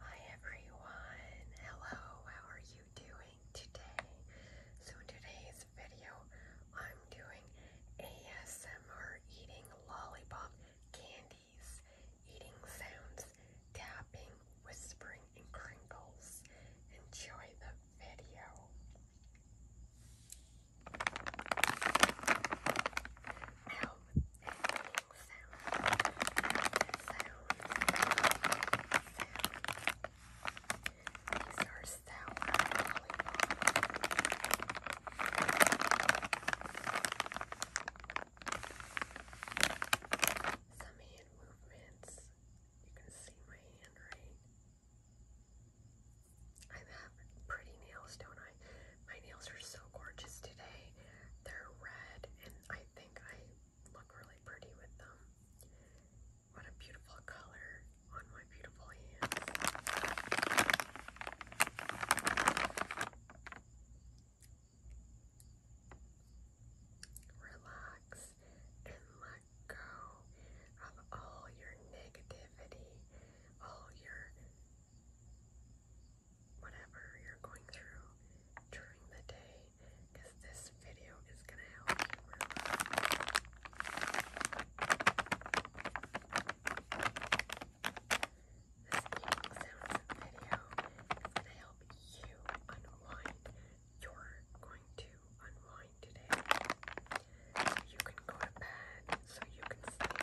Hi everyone, hello, how are you doing today? So in today's video, I'm doing ASMR eating lollipop candies, eating sounds, tapping, whispering, and crinkles. Enjoy the video. Some hand movements. You can see my hand right. I have pretty nails, don't I? My nails are so gorgeous today. They're red and I think I look really pretty with them. What a beautiful color on my beautiful hands. Relax and let go of all your negativity, all your whatever you're going through during the day because this video is going to help you This eating video is going to help you unwind. You're going to unwind today. you can go to bed so you can sleep.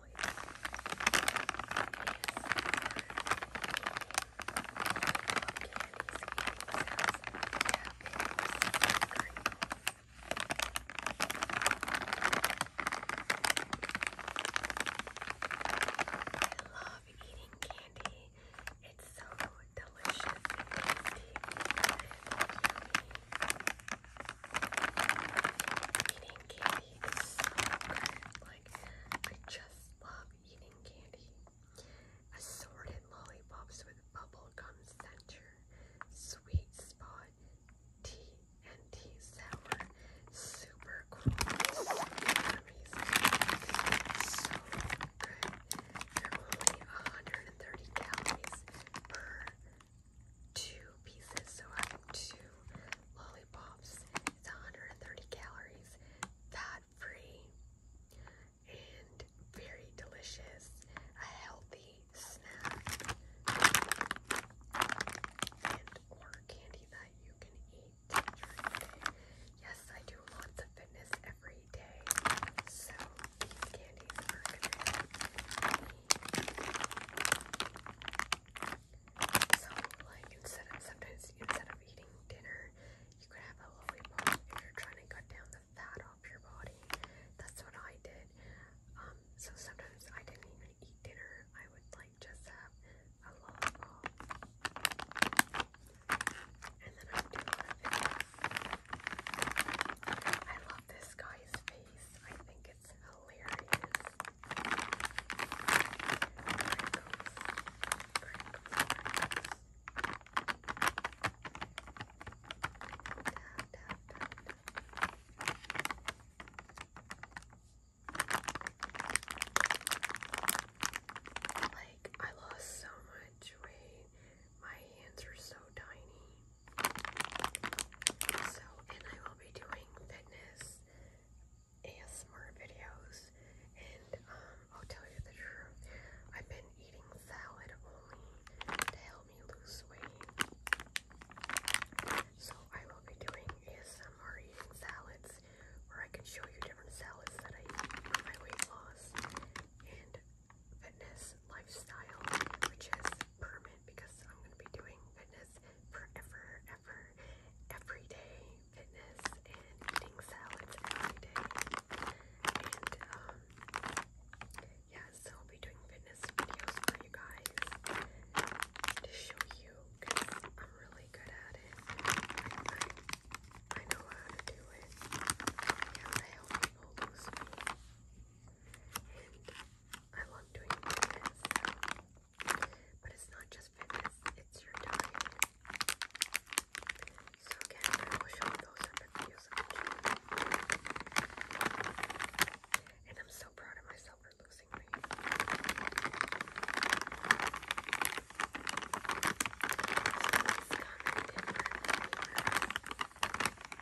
love eating candy. It's so delicious and tasty and yummy. Eating candy Like, I just love eating candy. Assorted lollipops with bubblegum center, sweet spot, tea and tea sour, super cool, so good. only 130 calories per two pieces, so I have two lollipops is 130 calories, fat free, and very delicious, a healthy snack, and or candy that you can eat Yes, I do lots of fitness every day, so these candies are good. So, like, instead of sometimes instead of eating dinner, you could have a lollipop if you're trying to cut down the fat off your body. That's what I did. Um, so sometimes I didn't even eat dinner. I would like just have a lollipop, and then I do a lot I love this guy's face. I think think it's Like, I lost so much weight. My hands are so tiny. So, and I will be doing fitness ASMR videos. And um, I'll tell you the truth, I've been eating salad only to help me lose weight. So I will be doing ASMR eating salads where I can show you different salads that I eat for my weight loss. And fitness lifestyle, which is permanent because I'm going to be doing fitness forever, ever, every day. Fitness and eating salads every day. And, um, yeah, so I'll be doing fitness videos for you guys to show you I'm really good at it. I, know how to do it. And I help and I love doing fitness. But it's not just fitness, it's your diet. So again, I will show those in videos And I'm so proud of myself for losing weight.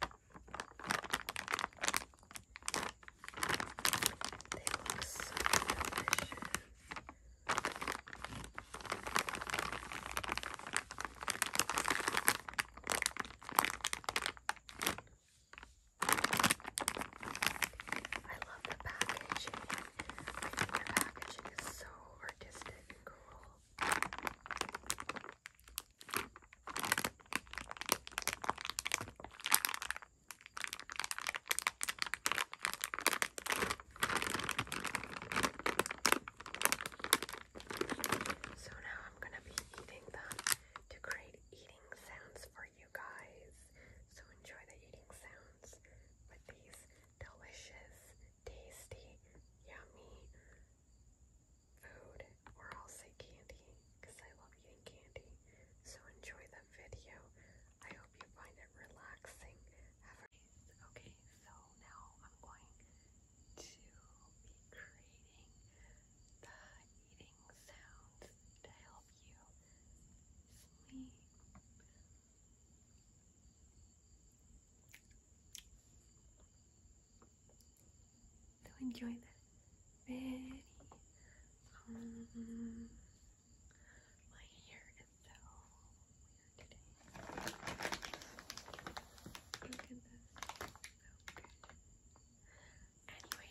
They look I love the packaging. I packaging is so artistic and cool. So now I'm going to be eating them to create eating sounds for you guys. So enjoy the eating sounds with these delicious, tasty, yummy food or I'll say candy because I love eating candy. So enjoy the video. I hope you find it relaxing. okay, so now I'm going to be creating the eating sounds to help you sleep to enjoy that very my hair is so weird today. Look at this. So good. Anyways.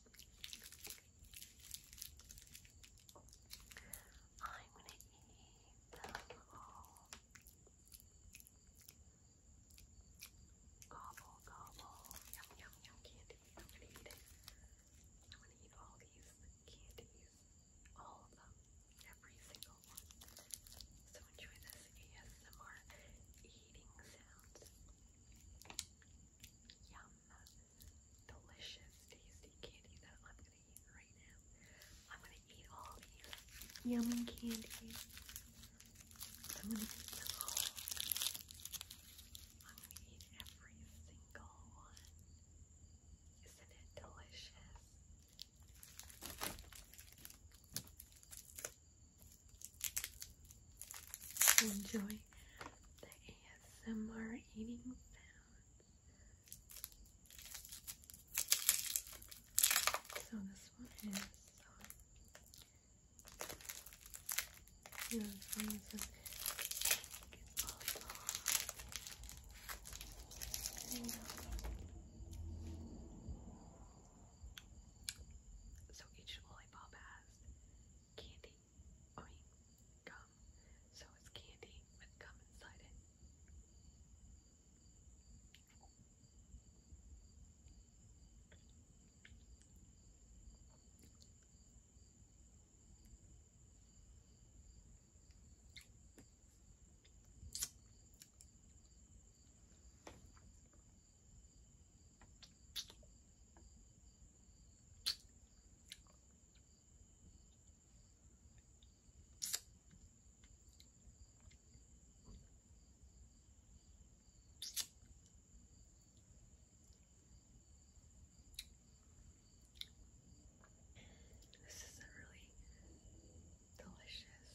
I'm gonna eat them all. Gobble, gobble, yum, yum, yum, candy. I'm gonna eat it. I'm gonna eat all these candies, all of them, every single one. So enjoy this ASMR eating sounds. Yum. Delicious, tasty candy that I'm going to eat right now. I'm going to eat all these yummy candies. I'm going to eat every single one. Isn't it delicious? enjoy the ASMR eating sounds. So this one is um, yeah, this one is lollipop has candy, I mean gum, so it's candy with gum inside it. This is a really delicious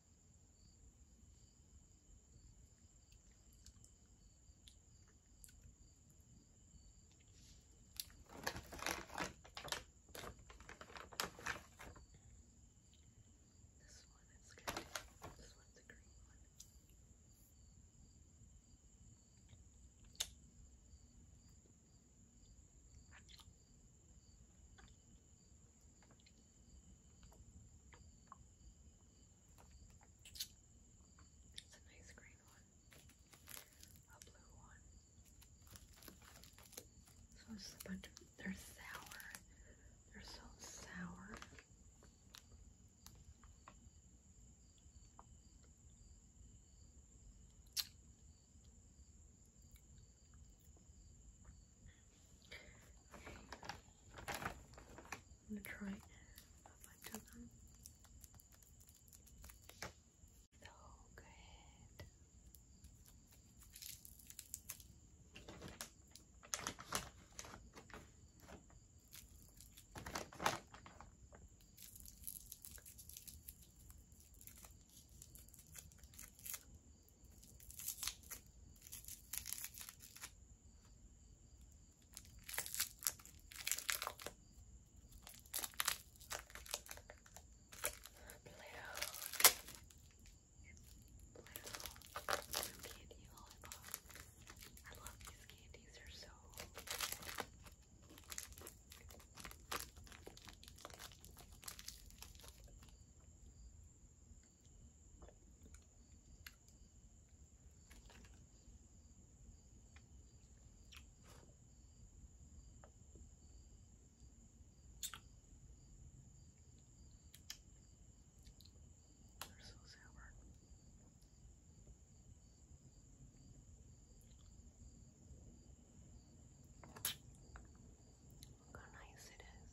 is good. This one's a green one. It's a nice green one, a blue one. So it's just a bunch of, they're sour. They're so sour. I'm gonna try a bunch of them. So good candy lollipop. I love these candies, they're so they're so sour. Look how nice it is.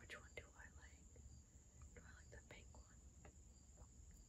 Which one do I like? Do I like the pink one?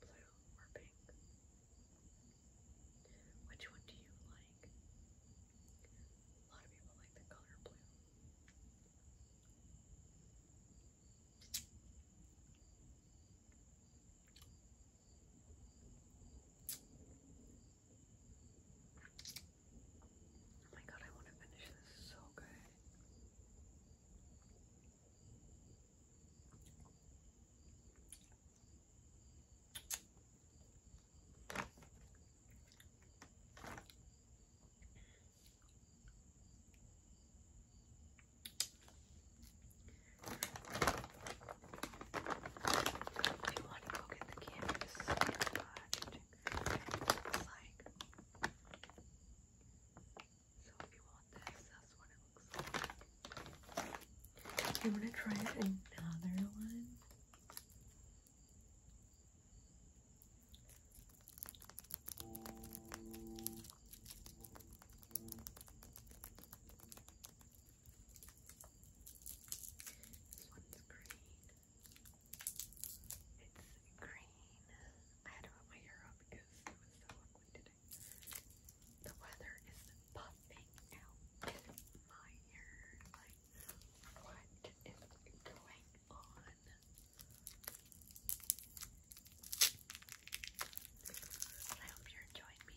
blue or pink? Which one do you like? A lot of people like the color blue. Oh my god, I want to finish this. It's so good. I want to go get the canvas, but it's like so if you want this, that's it to try another one? This one's green. It's green. I had to put my hair up because it was so going The weather is puffing out my hair. what is going on? I hope you're enjoying me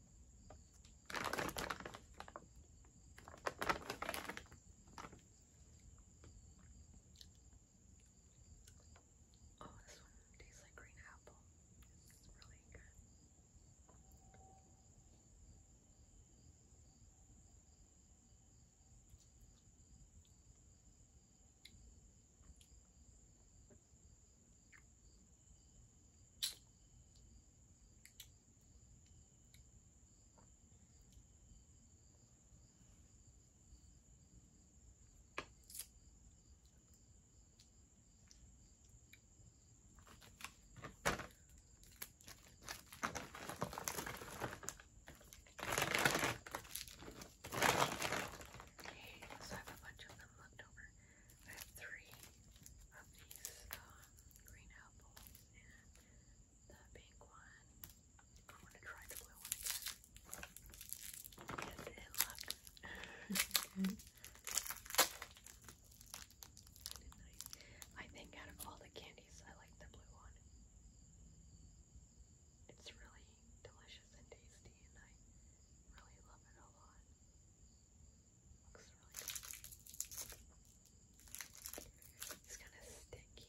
Oh, this one tastes like green apple. It's really good. So I have a bunch of them left over. I have three of these um, green apples and the pink one. I want to try the blue one again. Yes, it I think out of all the candies, I like the blue one. It's really delicious and tasty, and I really love it a lot. Looks really good. It's kind of sticky.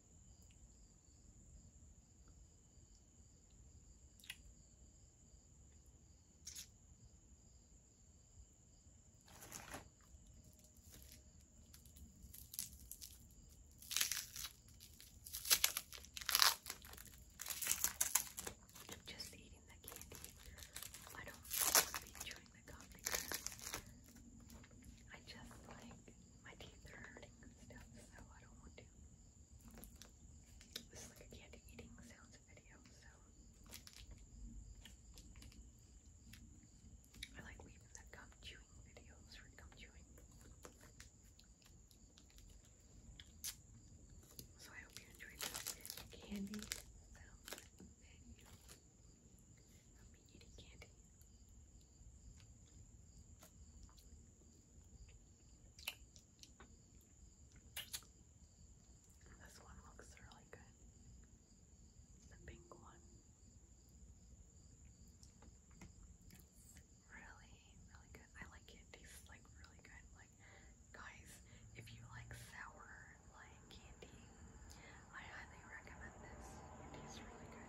I'm just eating the candy. I don't want to be chewing the gum because I just like my teeth are hurting and stuff, so I don't want to. This is like a candy eating sounds video, so I like leaving the gum chewing videos for gum chewing. So I hope you enjoyed this candy sounds video. I'll be eating candy. This one looks really good. The pink one. It's really, really good. I like it. It tastes like really good. Like, guys, if you like sour like candy, I highly recommend this. It tastes really good.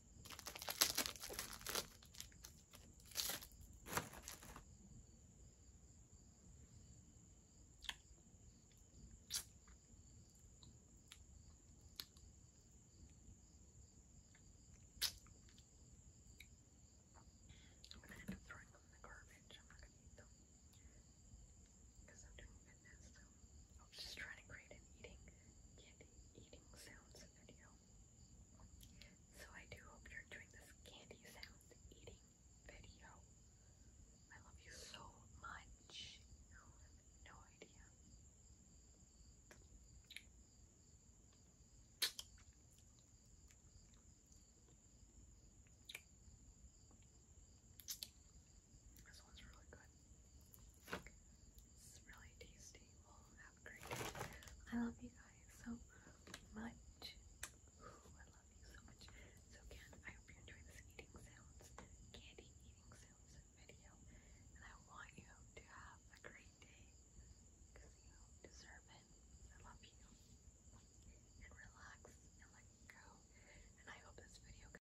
I'm gonna end up throwing them in the garbage. I'm not gonna eat them because I'm doing fitness. So. I am just trying to create an eating, candy eating sounds video. So I do hope you're doing this candy sounds eating video. I love you so much. no idea. This one's really good. It's really tasty. Well, have a great day. I love you guys so much. I love you so much. So again, I hope you enjoy this eating sounds, candy eating sounds video. And I want you to have a great day because you deserve it. I love you. And relax and let go. And I hope this video